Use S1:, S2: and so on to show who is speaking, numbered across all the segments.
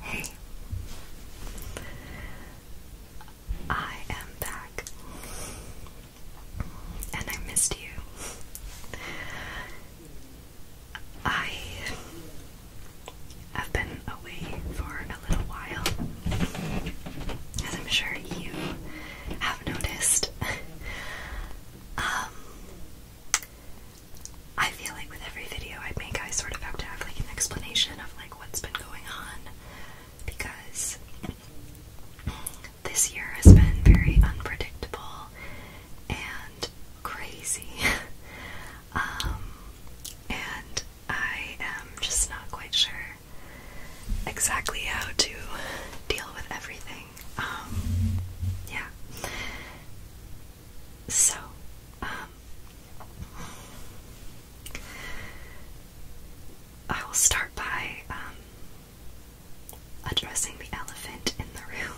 S1: Hey, I am back, and I missed you. I have been away for a little while, as I'm sure you have noticed. um, I feel like with every video I make, I sort of have to have like an explanation of like what's been going on because this year has been very unpredictable and crazy. um, and I am just not quite sure exactly how to deal with everything. Um, yeah. So, um, I will start by um, addressing the elephant in the room,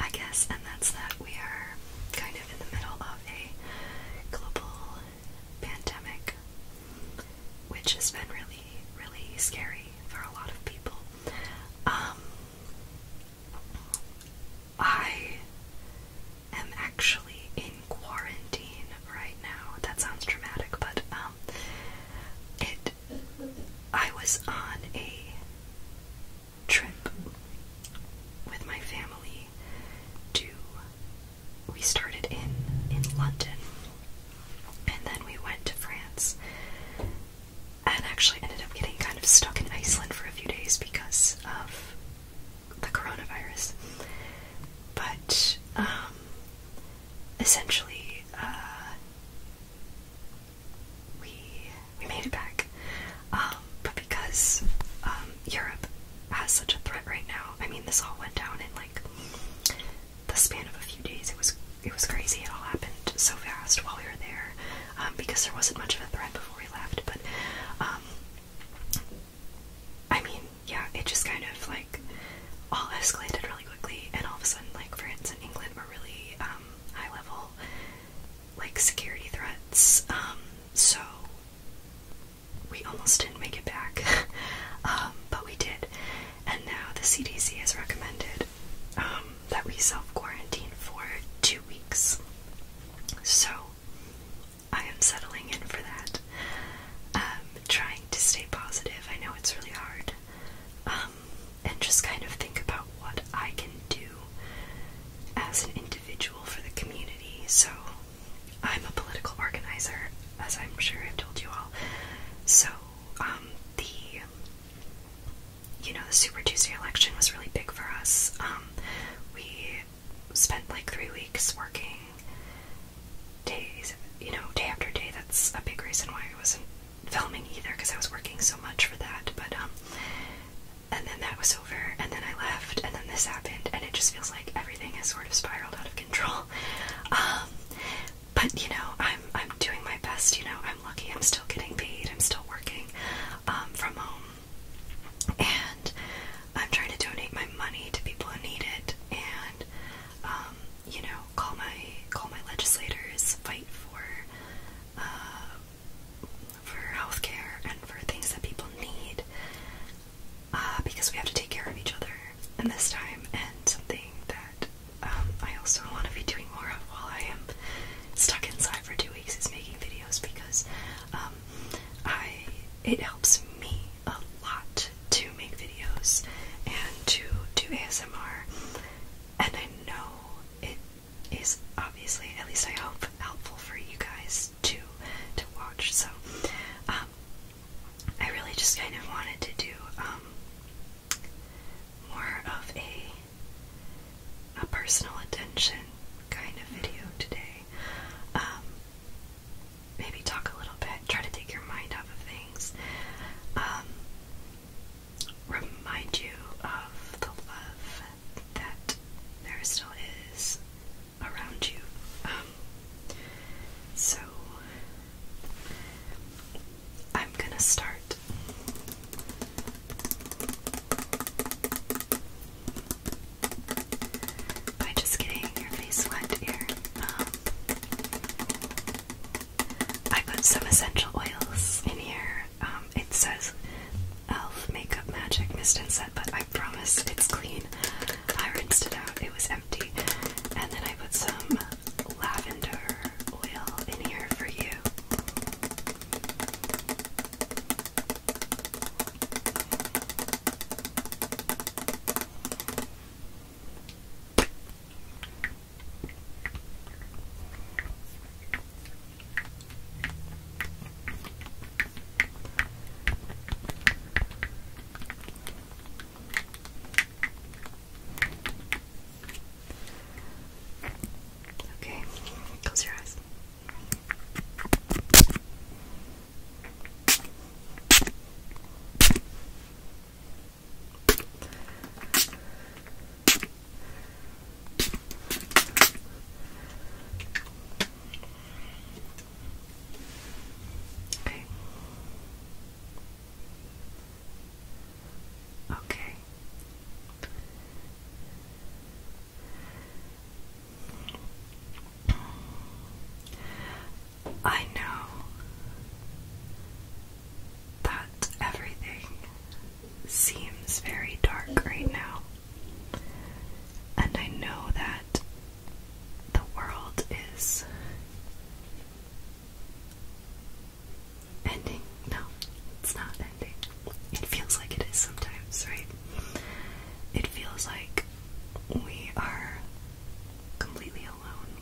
S1: I guess, and that's that we are kind of in the middle of a global pandemic, which has been really, really scary for a lot of people. Um, I am actually in quarantine right now. That sounds dramatic, but um, it. I was on a trip with my family to we started in in London, and then we went to France, and actually ended up getting kind of stuck in Iceland for a few days because of the coronavirus. But um, essentially, uh, we we made it back, um, but because um, Europe has such a threat right now. I mean, this all went down in like the span of a few days. It was it was crazy. It all happened so fast while we were there um, because there wasn't much of a threat before we left. But um, I mean, yeah, it just kind of like all escalated really quickly, and all of a sudden, like France and England were really um, high level like security threats. Um, so we almost didn't make it back, um, but we did. And now the CDC has recommended um, that we self quarantine for two weeks. So I am settling in for that. Um, trying to stay positive. I know it's really hard. and just kind of think about what I can do as an individual for the community. So I'm a political organizer, as I'm sure I've told you all. So, um, the you know, the Super Tuesday election was really big for us. Um, we spent like three weeks working days, you know, day after day. That's a big reason why I wasn't filming either, because I was working so much for that. But um, and then that was over, and then I left, and then this happened, and it just feels like like everything has sort of spiraled out of control. Um, but you know, I'm I'm doing my best. You know, I'm lucky. I'm still getting paid. I'm still working um, from home, and I'm trying to donate my money to people who need it. And um, you know, call my call my legislators, fight for. Uh, for healthcare and for things that people need. Uh, because we have to take care of each other and this time, and something that um, I also want to be doing more of while I am stuck inside for two weeks is making videos because um, I it helps me a lot to make videos and to do ASMR, and I know it is obviously, at least I hope, helpful for you guys to to watch. So um, I really just kind of wanted to do um, more of a a personal attention kind of video today. Um, maybe talk a little bit, try to take your mind off of things. Um, remind you of the love that there still is around you. Um, so I'm gonna start. By just getting your face wet here. Um, I put some essential oils in here. Um, it says Elf Makeup Magic Mist and Set, but I. I promise it's clean. I rinsed it out, it was empty. And then I put some lavender oil in here for you. Okay, close your eyes. Okay. Okay. I know that everything seems very dark right now, and I know that the world is ending. No, it's not ending. It feels like it is sometimes, right? It feels like we are completely alone.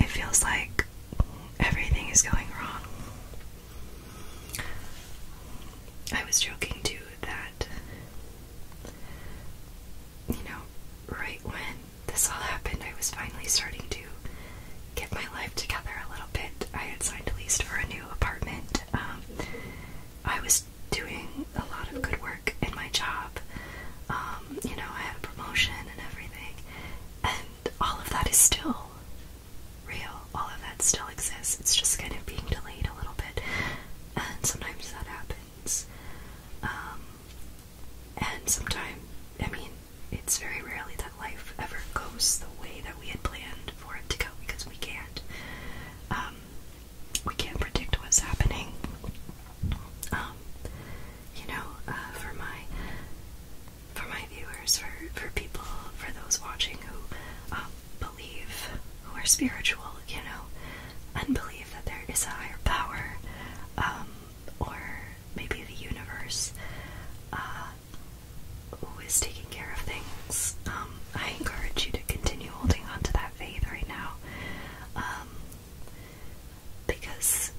S1: It feels like everything is going wrong. I was joking too that, you know, right when this all happened, I was finally starting to get my life together a little bit. I had signed a lease for a new apartment. Um, I was doing a lot of good work in my job. Um, you know, I had a promotion and everything. And all of that is still real. All of that still exists. It's just kind of being delayed a little bit, and sometimes that happens. Um, and sometimes, I mean, it's very rarely that life ever goes the way that we had planned for it to go because we can't. Um, we can't predict what's happening. Um, you know, uh, for my for my viewers, for for people, for those watching who believe who are spiritual, you know, and believe that there is a higher power, um, or maybe the universe, uh, who is taking care of things. Um, I encourage you to continue holding on to that faith right now, um, because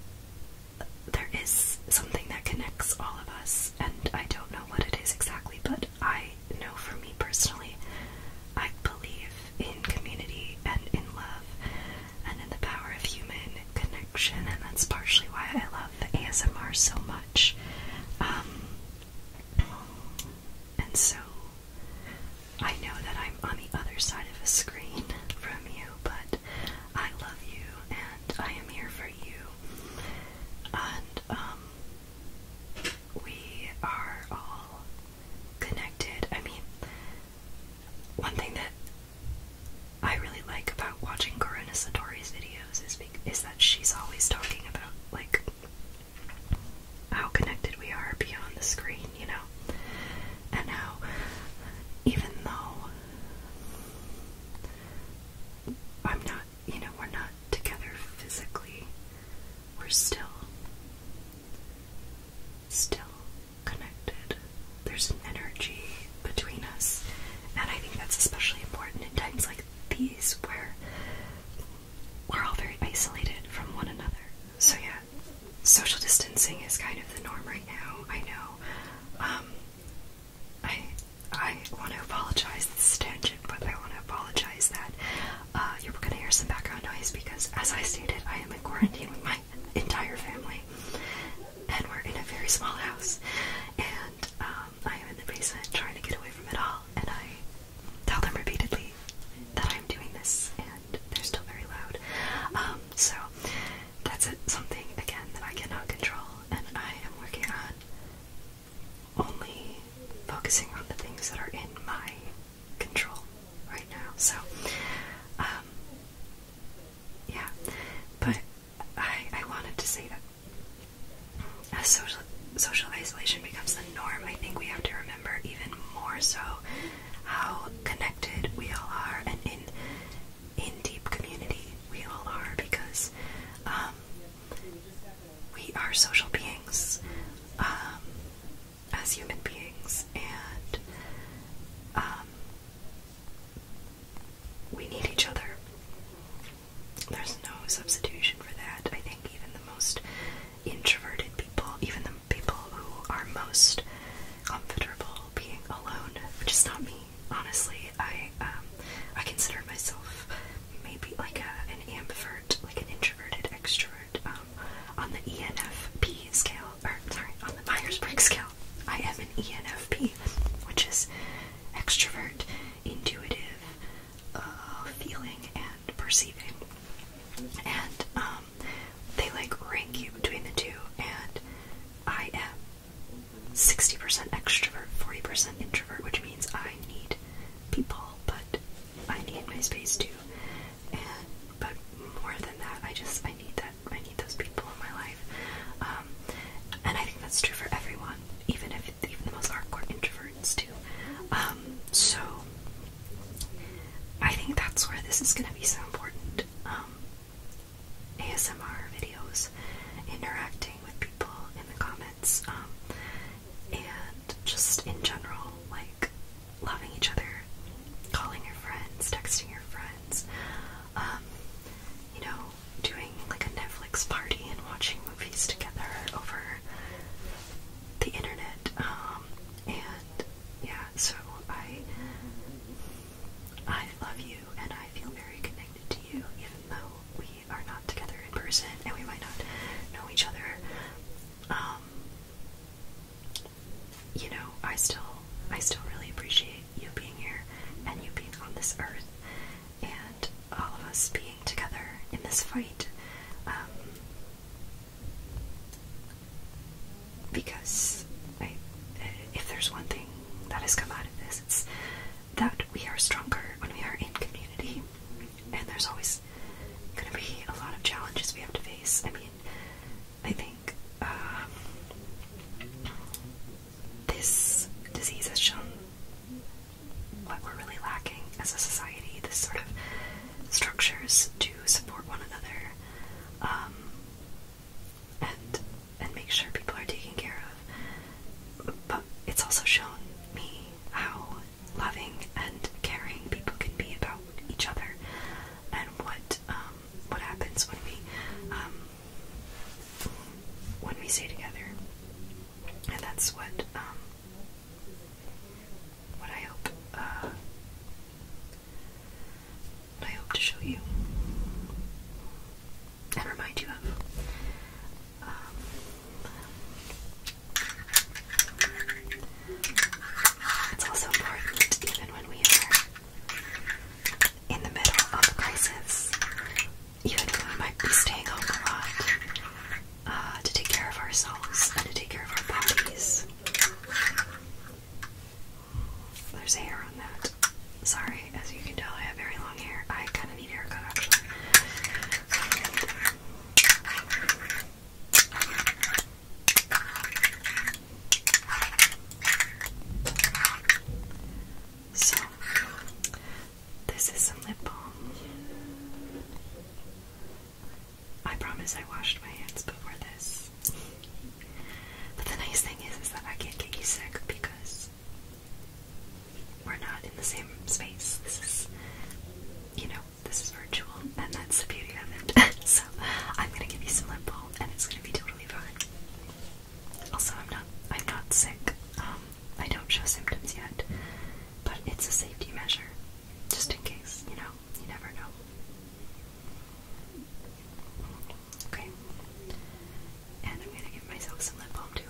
S1: there is something that connects all of us, and I don't know what it is exactly, but I know for me personally, I believe in community and in love and in the power of human connection, and that's partially why I love ASMR so much. Um, and so I know that I'm on the other side of a screen from you, but I love you and I am here for you. And um, we are all connected. I mean, one thing that I really like about watching Corona Satori's videos is is that she's always talking about like how connected we are beyond the screen, you know, and how even though I'm not you know, we're not together physically. We're still, still connected. There's an energy between us, and I think that's especially important in times like these where we're all very isolated from one another. So, yeah, social distancing is kind of the norm right now. I know. Um, I I want to apologize. This is tangent, but I want to apologize that uh, you're going to hear some background noise because, as I stated, I am in quarantine with my entire family, and we're in a very small house, and um, I am in the basement trying to get away from it all, and I tell them repeatedly that I'm doing this, and they're still very loud. Um, so that's it, something again that I cannot control, and I am working on only focusing on the things that are in my control right now. So, um, yeah. But I, I wanted to say that as social social isolation becomes the norm, I think we have to remember even more so how connected we all are and in in deep community we all are because um, we are social beings um, as human beings, and um, we need each other. There's no substitution for that. I think even the most introverted people, even the people who are most comfortable being alone, which is not me, honestly. I um, I consider myself maybe like a, an ambivert, like an introverted extrovert, um, on the ENFP scale, or sorry, on the Myers-Briggs scale, I am an ENFP, which is extrovert, intuitive, uh, feeling, and perceiving, and um, they like rank you between the two, and I am 60% extrovert, 40% introvert, which means I need people, but I need my space too. And but more than that, I just I need that I need those people in my life. Um, and I think that's true for everyone, even if even the most hardcore introverts too. Um, so I think that's where this is going to be so important. Um, ASMR videos, interacting interacting with people in the comments, um, and just in general, like loving each other, calling your friends, texting your friends, um, you know, doing like a Netflix party and watching movies together over the internet, um, and yeah, so I I love you and I feel very connected to you even though we are not together in person and we might not know each other, um, you know, I still, I still really appreciate you being here and you being on this earth and all of us being together in this fight, um, because if there's one thing that has come out of this, it's that we are stronger when we are in community. And there's always going to be a lot of challenges we have to face. I mean, I think um, this disease has shown what we're really lacking as a society this sort of structures to support one another. Um, and and make sure people are taken care of. But it's also shown me how loving and caring people can be about each other, and what um, what happens when we um, when we stay together. And that's what um, what I hope uh, what I hope to show you and remind you of. Um, it's also important, even when we are in the middle of a crisis, even when we might be staying home a lot, uh, to take care of ourselves and to take care of our bodies. There's hair Sorry, as you can tell, I have very long hair. I kind of need a So, this is some lip balm. I promise I washed my hands before this. But the nice thing is, is that I can't get you sick because we're not in the same space. This is, you know, this is virtual, and that's the beauty of it. so, I'm gonna give you some lip and it's gonna be totally fine. Also, I'm not, I'm not sick. Um, I don't show symptoms yet, but it's a safety measure, just in case. You know, you never know. Okay. And I'm gonna give myself some lip balm too.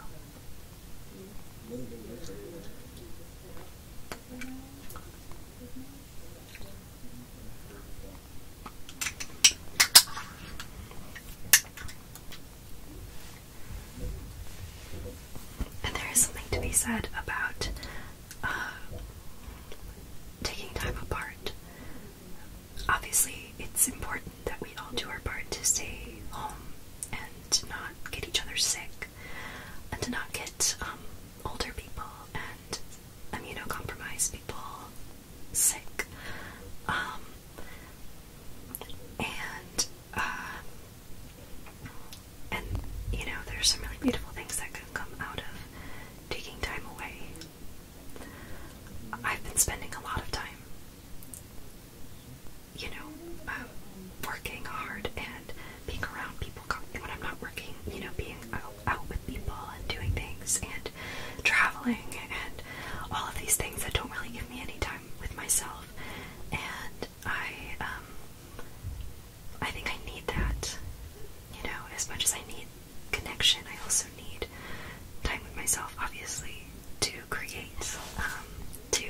S1: And there is something to be said about uh, taking time apart obviously, it's important that we all do our part to stay home and to not get each other sick and to not get um, older people and immunocompromised people sick. Um, and, uh, and you know, there's some really beautiful things that can come out of taking time away. I've been spending a lot of time you know, um, working hard and being around people when I'm not working, you know, being out, out with people and doing things and traveling and all of these things that don't really give me any time with myself. And I, um, I think I need that, you know, as much as I need connection, I also need time with myself, obviously to create, um, to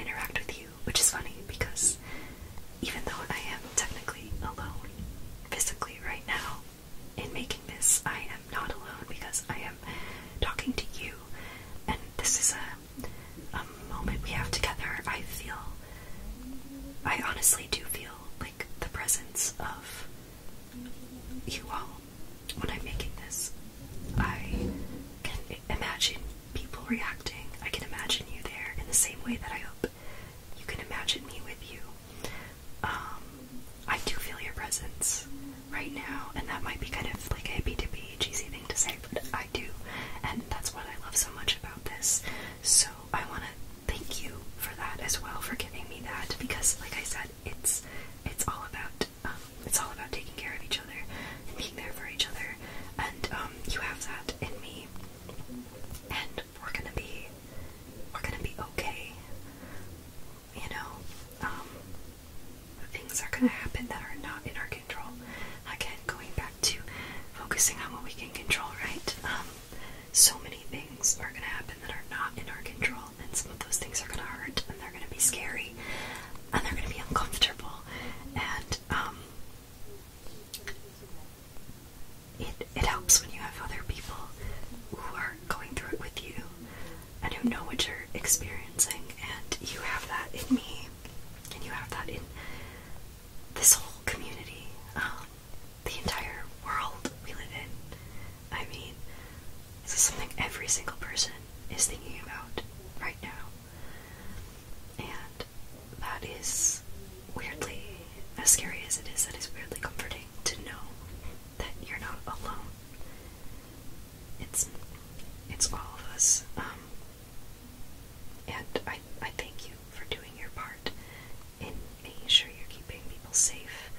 S1: interact with you, which is funny because even though I am technically alone physically right now in making this, I am not alone because I am talking to you, and this is a, a moment we have together. I feel, I honestly do feel like the presence of you all, when I'm making this, I can imagine people reacting. I can imagine you there in the same way that I hope you can imagine me with you. Um, I do feel your presence right now, and that might be kind of like a hippy-dippy, cheesy thing to say, but I do, and that's what I love so much about this. So I want to thank you for that as well, for giving me that, because like I said, it's it's all about um, it's all about taking care of each other and being there for each other, and um, you have that in me, and we're gonna be we're gonna be okay. You know, um, things are gonna happen that are not in our control. Again, going back to focusing on what we can control, right? so many things are going to happen that are not in our control, and some of those things are going to hurt, and they're going to be scary, and they're going to be uncomfortable, and um, it it helps when you have other people who are going through it with you, and who know what you're experiencing, and you have that in me, and you have that in this whole community. Um, the entire world we live in. I mean, this is something every single person is thinking about right now. And that is weirdly, as scary as it is, that is weirdly comforting to know that you're not alone. It's it's all of us. Um, and I, I thank you for doing your part in making sure you're keeping people safe.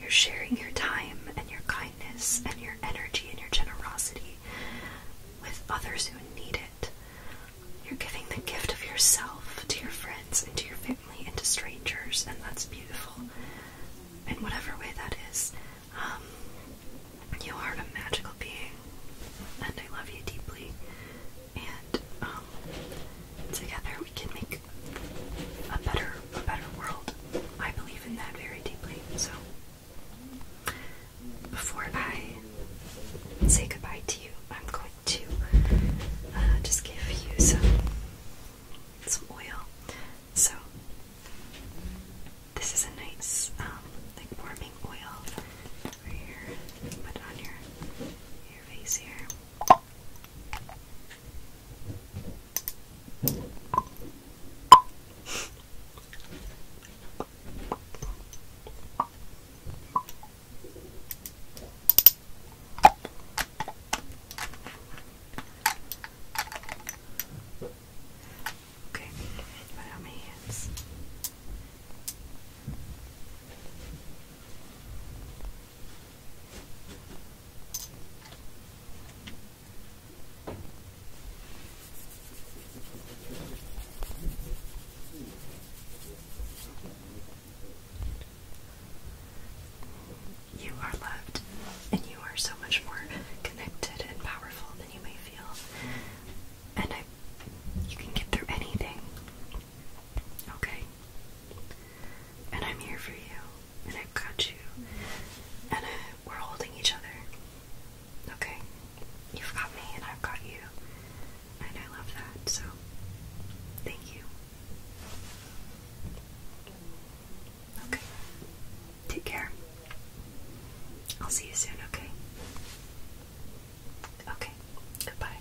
S1: You're sharing your time and your kindness and your energy and your generosity with others who need it. You're giving the gift of yourself to your friends and to your family and to strangers, and that's beautiful. In whatever way that is, um, you are a magical being, and I love you deeply. And um, together we can make a better a better world. I believe in that very deeply. So before I say goodbye to you, I'm going to uh, just give you some some oil. So this is a nice um, like warming oil right here. Put on your your face here. Okay, put out my hands. You are loved, and you are so much more connected and powerful than you may feel. And I, you can get through anything. Okay? And I'm here for you. And I've got you. And we're holding each other. Okay? You've got me and I've got you. And I love that. So, thank you. Okay. Take care. I'll see you soon, okay? Okay. Goodbye.